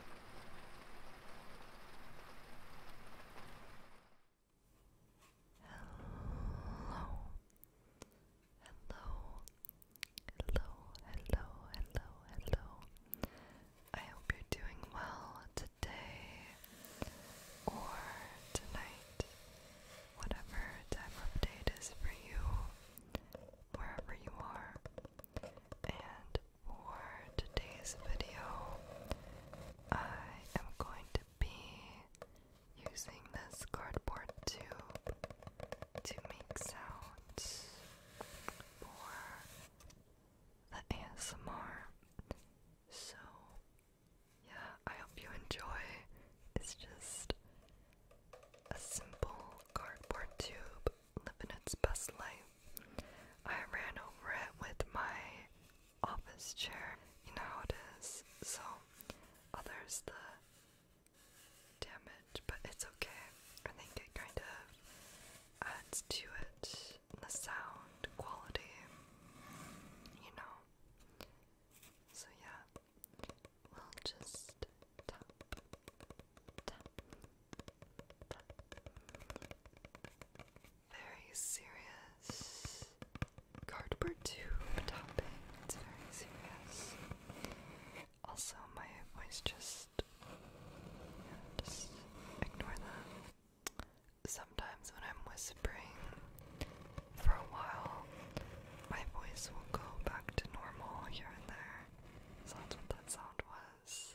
Hello. Hello. Hello, hello, hello, hello. I hope you're doing well today or tonight, whatever time of day it is for you, wherever you are. And for today's video, I am going to be using this cardboard tube to make sounds for the ASMR. So, yeah, I hope you enjoy. It's just a simple cardboard tube living its best life. I ran over it with my office chair. You know how it is. So, there's the damage, but it's okay. I think it kind of adds to it the sound quality, you know. So, yeah, we'll just very serious cardboard tube topping. It's very serious. Also, my voice just ignore that. Sometimes when I'm whispering for a while, my voice will go back to normal here and there. So that's what that sound was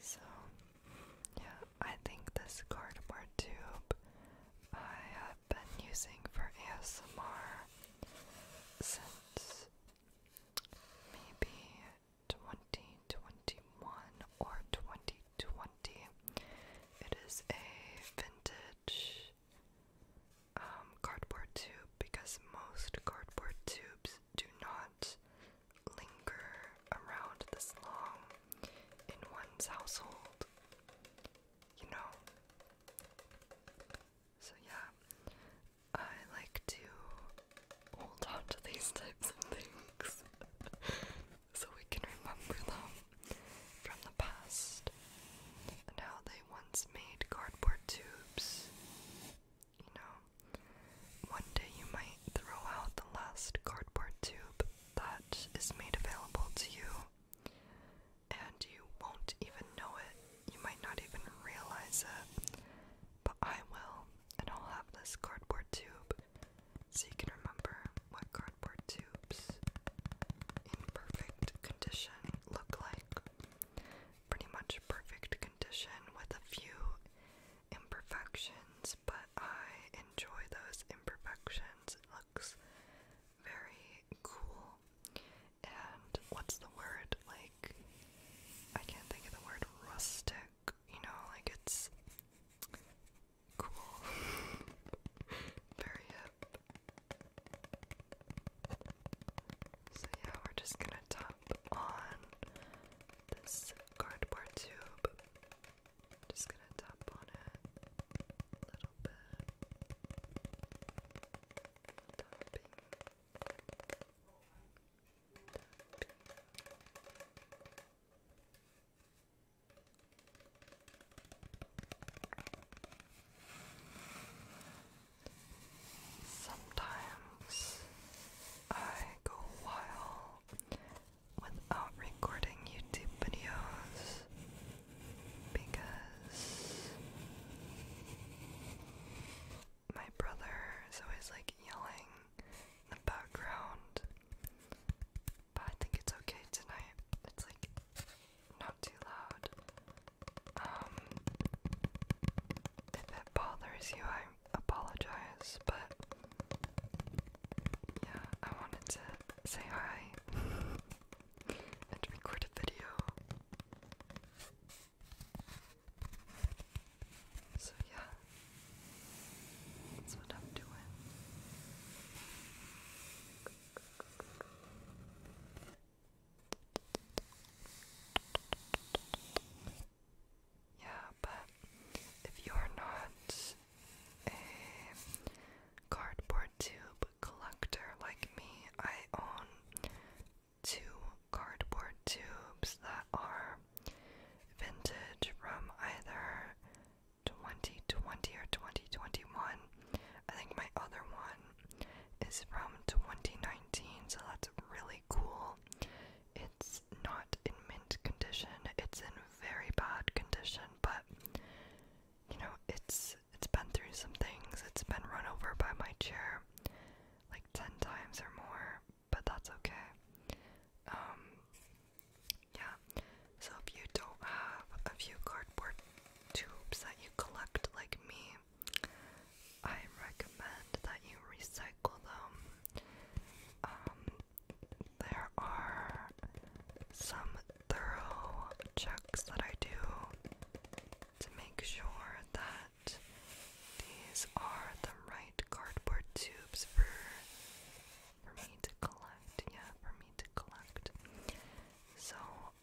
so, yeah, I think this cardboard tube I have been using for ASMR since maybe 2021 or 2020. It is a vintage um, cardboard tube because most cardboard tubes do not linger around this long in one's household, you know. So, yeah, I like to hold on these types of things so we can remember them from the past and how they once made cardboard tubes. You know, one day you might throw out the last cardboard tube that is made available to you, and you won't even know it. You might not even realize it, but I will, and I'll have this cardboard tube so you can remember what cardboard tubes in perfect condition look like pretty much perfect condition with a few imperfections, but I enjoy those imperfections. It looks very cool. And what's the word? Like, I can't think of the word rustic, you know, like it's cool. very hip. So yeah, we're just gonna top on this cardboard tube. Just gonna tap on it a little bit. Tapping. Sometimes I go a while without recording YouTube videos because my brother is always like yelling in the background. But I think it's okay tonight. It's like not too loud um, if that bothers you, I apologize, but yeah, I wanted to say hi and record a video. So, yeah, that's what I'm doing. Yeah, but if you're not a cardboard tube collector like me, I own two cardboard tubes that are vintage from either 2020 or 2021. I think my other one is from 2019, so that's really cool. It's not in mint condition, it's in very bad condition, but you know, it's it's been through some things. It's been run over by my chair like 10 times or more, but that's okay. Um yeah. So if you don't have a few cardboard tubes that you collect like me, I recommend that you recycle them. Um, there are some thorough checks that I do to make sure that these are the right cardboard tubes for for me to collect. Yeah, for me to collect. So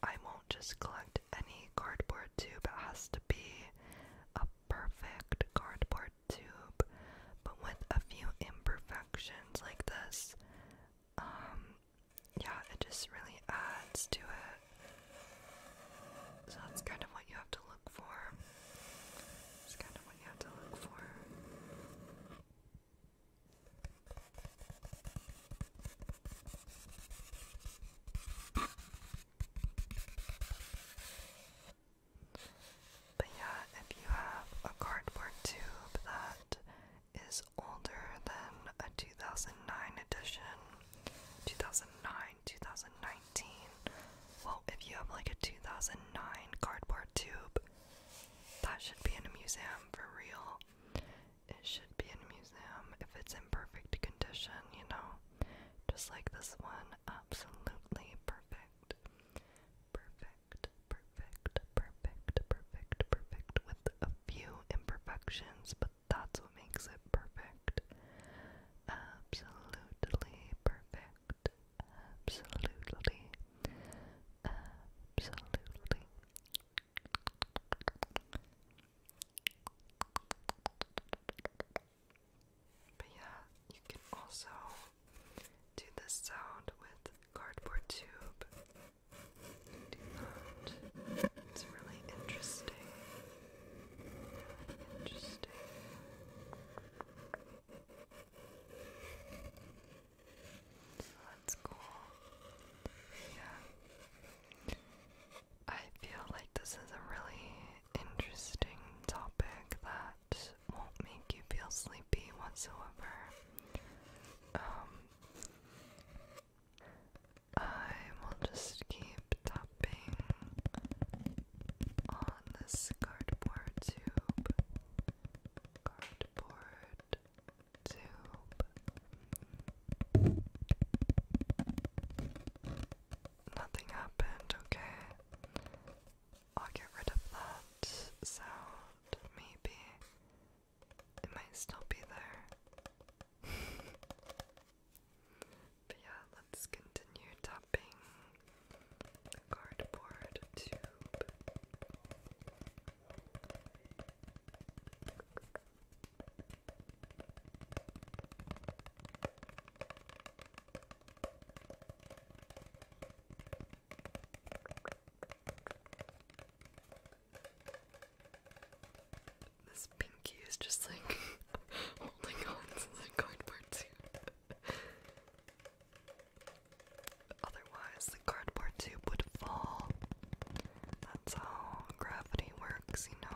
I won't just collect any cardboard tube. It has to be a perfect cardboard tube, but with a few imperfections like this. Um, yeah, it just really adds to it. So that's kind of what you have to look for. It's kind of what you have to look for. But yeah, if you have a cardboard tube that is older than a 2009 edition, 2009, 2019, well, if you have like a 2009 cardboard tube, that should be in a museum for real it should be in a museum if it's in perfect condition, you know? Just like this one, absolutely perfect. Perfect, perfect, perfect, perfect, perfect, with a few imperfections, but that's what makes it perfect. Absolutely perfect. Absolutely. Absolutely. But yeah, you can also do this sound with cardboard tube. It's really interesting. Interesting. So that's cool. Yeah. I feel like this is a really interesting topic that won't make you feel sleepy whatsoever. Um, I will just keep tapping on this cardboard tube. Cardboard tube. Nothing happened, okay. I'll get rid of that sound, maybe. It might still be there. but yeah, let's continue tapping cardboard tube. This pinky is just like holding on to the cardboard tube. Otherwise, the cardboard tube would fall. That's how gravity works, you know.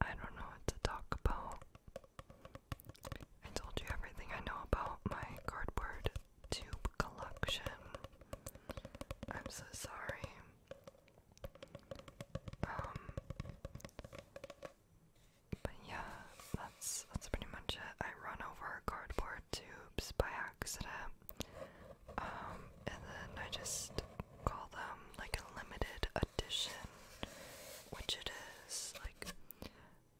I don't know what to talk about. I told you everything I know about my cardboard tube collection. I'm so sorry. Um, but yeah, that's that's pretty much it. I run over cardboard tubes by accident, um, and then I just call them like a limited edition, which it is. Like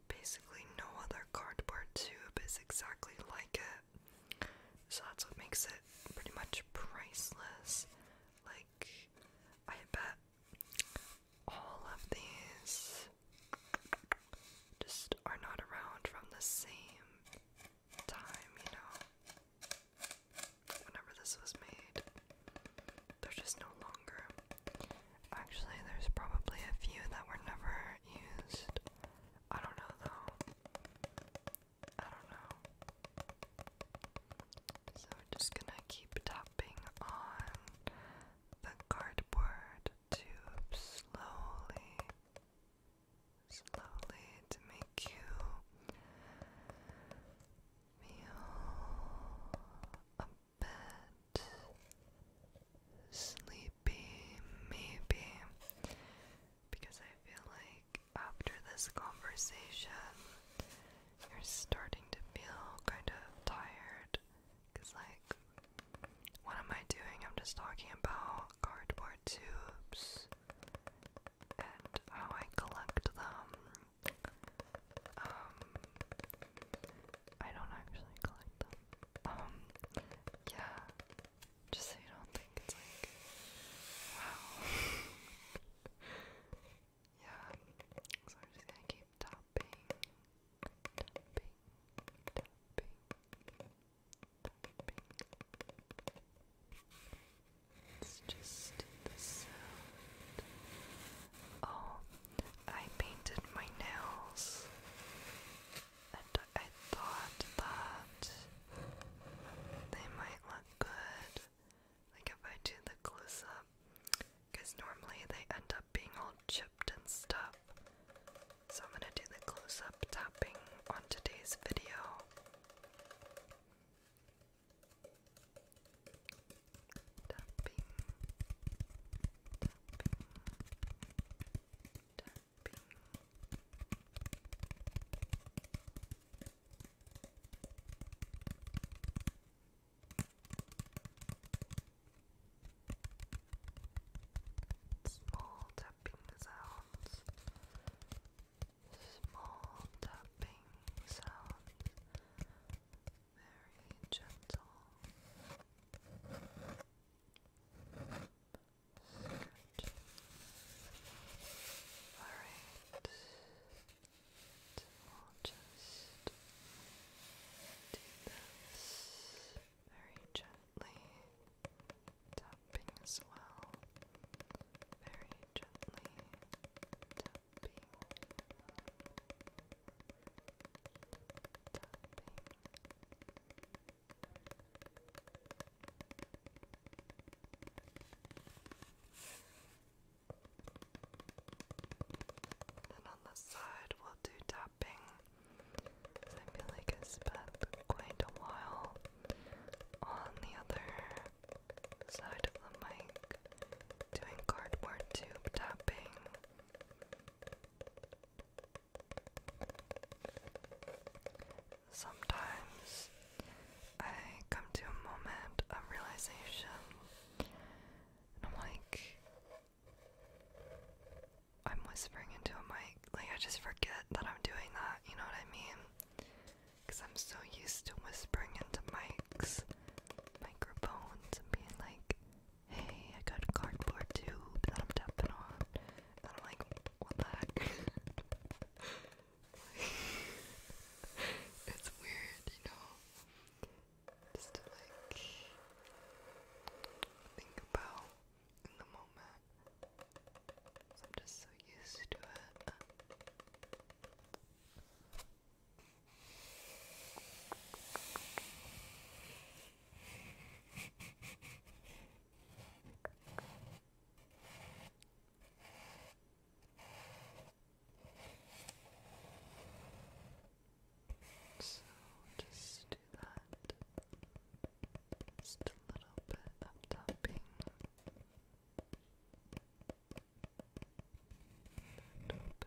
basically, no other cardboard tube is exactly like it. So that's what makes it pretty much priceless. Like I bet all of these just are not around from the same time, you know. Whenever this was made, they're just no longer. Actually, there's probably a few that were never used. I don't know though. I don't know. So we're just gonna keep tapping on the cardboard tube slowly, slowly to make you feel a bit sleepy, maybe, because I feel like after this conversation, you're starting to feel kind of tired. Because, like, what am I doing? I'm just talking about cardboard tubes and how I collect them. Um, I don't actually collect them. Um, yeah. Just so you don't think it's like, wow. yeah, so I'm just gonna keep tapping, tapping, tapping, It's just the Oh, I painted my nails. And I thought that they might look good like if I do the close up, because normally they end up being all chipped and stuff. So I'm gonna do the close up tapping on today's video. Small tapping sounds. Small tapping sounds. Very gentle. All right we'll just do this very gently, tapping as well, very gently tapping, tapping. And on the side, we'll do tapping. I feel like I spent quite a while on the other side of the mic doing cardboard tube tapping sometimes I come to a moment of realization and I'm like, I'm whispering into a mic. Like, I just forget that I'm doing that, you know what I mean? Because I'm so used to whispering into mics, microphones, and being like, hey, I got a cardboard tube that I'm tapping on. And I'm like, what the heck? it's weird, you know, just like think about the moment. I'm just so used to it. So just do that. Just a little bit of tapping. A little bit.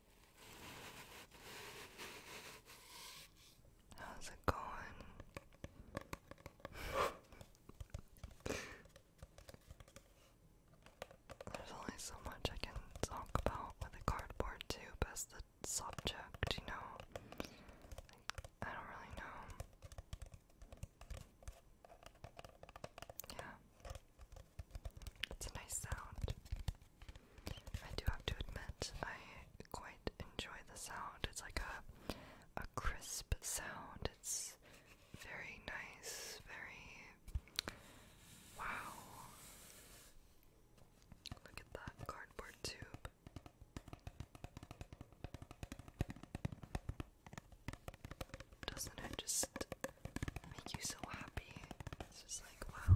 How's it going? There's only so much I can talk about with a cardboard tube as the subject, you know? I don't really know. Yeah. It's a nice sound. I do have to admit, I quite enjoy the sound. It's like a, a crisp sound. It's very nice, very. Wow. Look at that cardboard tube. Doesn't it just make you so happy? It's just like, wow.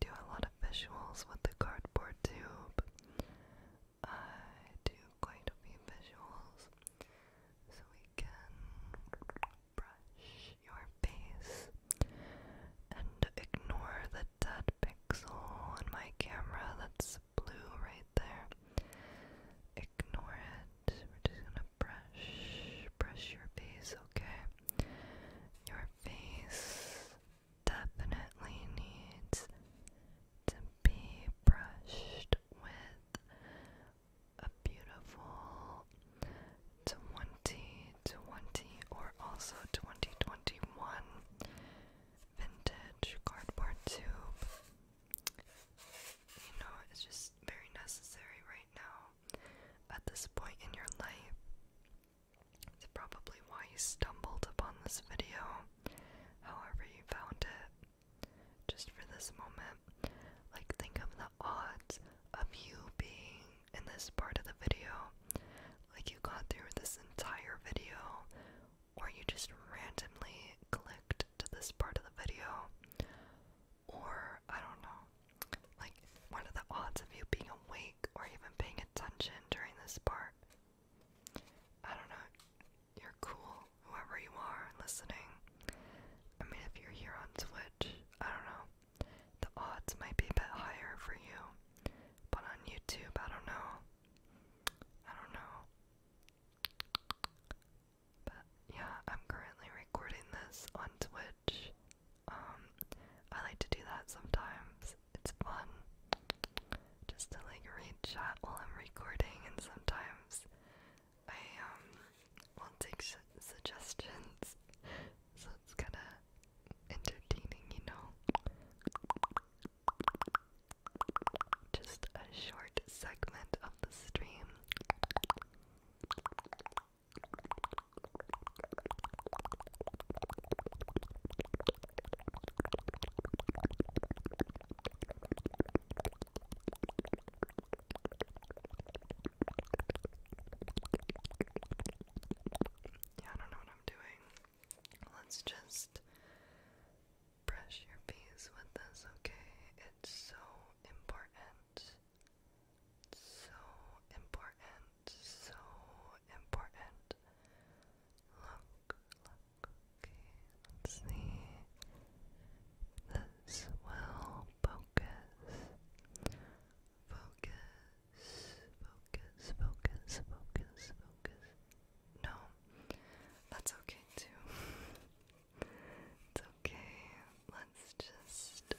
do a lot of visuals with the cardboard tube. I do quite a few visuals so we can brush your face and ignore the dead pixel on my camera that's blue right there. Ignore it. We're just gonna brush, brush your face, okay? Your face definitely needs to be brushed with a beautiful 2020 or also 2021 vintage cardboard tube. You know, it's just very necessary right now at this point in your life. It's probably why you stumbled upon this video, however, you found it. Just for this moment, like, think of the odds of you being in this part of the video. Like, you got through this entire video, or you just randomly clicked to this part of the video, or I don't know, like, what are the odds of you being away or even paying attention during this part. I don't know. You're cool, whoever you are listening. I mean, if you're here on Twitch, I don't know. The odds might be a bit higher for you, but on YouTube, I don't know. I don't know. But yeah, I'm currently recording this on Twitch. Um, I like to do that sometimes it's fun just to like read chat while I'm recording, and sometimes I um will take suggestions, so it's kind of entertaining, you know. Just a short segment of the stream. Yeah, I don't know what I'm doing. Let's just brush your face with this, okay? It's so important. It's so important so important. Look, look, okay, let's see. This will focus. Focus, focus, focus, focus, focus. No, that's okay too. it's okay. Let's just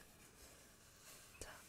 tap.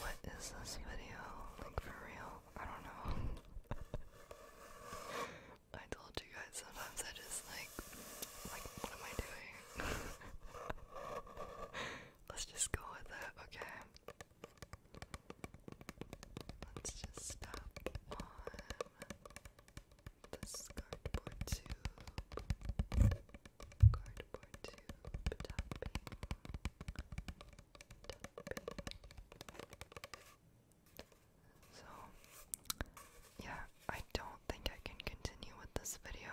What is this video? Like for real? I don't know. I told you guys sometimes I just like like what am I doing? Let's just go with that, okay? Let's just stop on this cardboard tube. Cardboard tube topping. So, yeah, I don't think I can continue with this video.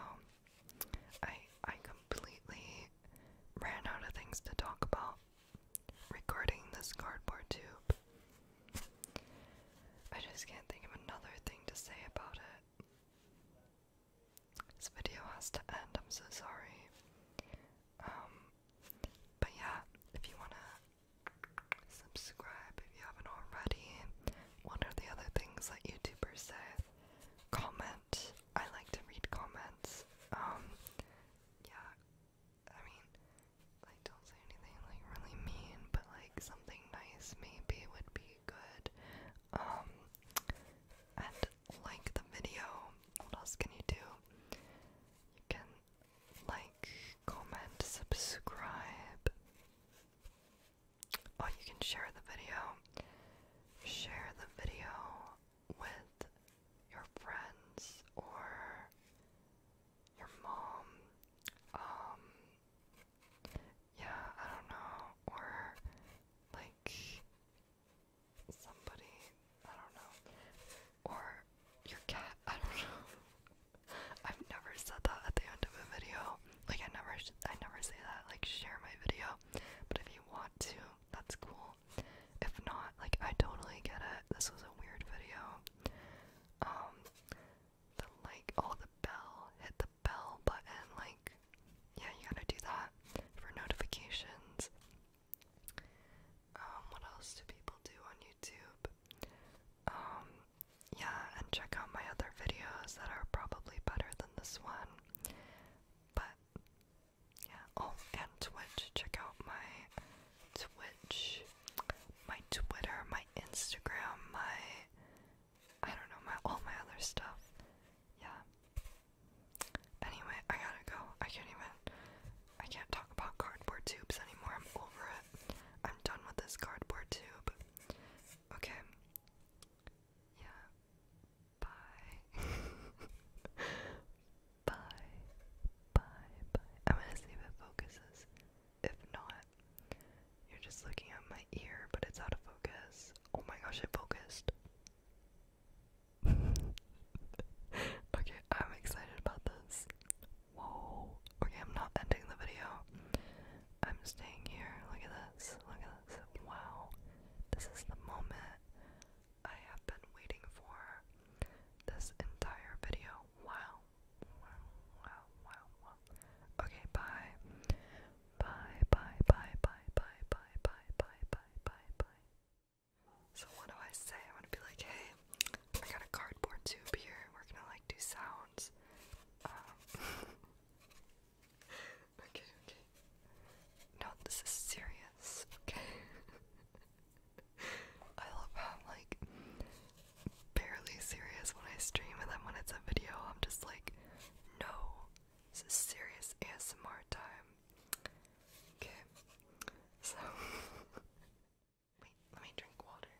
I I completely ran out of things to talk about recording this cardboard tube. I just can't think of another thing to say about it. This video has to end, I'm so sorry. Um but yeah, if you wanna subscribe if you haven't already, what are the other things that YouTubers say? comment. I like to read comments. Um, yeah, I mean, like, don't say anything like really mean, but like something nice maybe would be good. Um, and like the video. What else can you do? You can like, comment, subscribe. Oh, you can share the video. Share the video with your friends or your mom. Um, yeah, I don't know. Or, like, somebody, I don't know. Or your cat, I don't know. I've never said that at the end of a video. Like I never, I never say that. Like share my video. But if you want to, that's cool. If not, like I totally get it. This was a weird video. Um the like all the bell, hit the bell button, like yeah, you gotta do that for notifications. Um, what else do people do on YouTube? Um, yeah, and check out my other videos that are probably better than this one. But yeah, oh, and Twitch. Check out my Twitch, my Twitter, my Instagram, my I don't know, my all my other stuff. Yeah. Anyway, I gotta go. I can't even. I can't talk about cardboard tubes anymore. I'm over it. I'm done with this cardboard tube. Okay. Yeah. Bye. bye. Bye. Bye. I'm gonna see if it focuses. If not, you're just looking at my ear, but it's out of focus. Oh my gosh, it focused. okay, I'm excited about this. Whoa. Okay, I'm not ending the video. I'm staying here. Look at this. Look at this. Wow. This is the moment I have been waiting for this entire video. Wow. Wow, wow, wow, wow. Okay, bye. Bye, bye, bye, bye, bye, bye, bye, bye, bye, bye, bye. So what do I say? I'm gonna be like, hey, I got a cardboard tube here. We're gonna like do sounds. Um Okay, okay. No, this is serious, okay? I love how I'm like barely serious when I stream, and then when it's a video, I'm just like, no, this is serious ASMR time. Okay, so wait, let me drink water.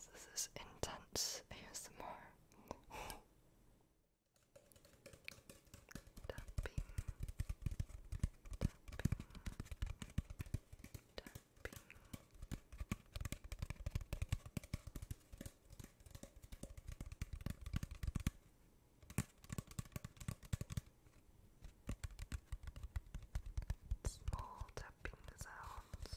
This is intense ASMR tapping, tapping, Small tapping sounds.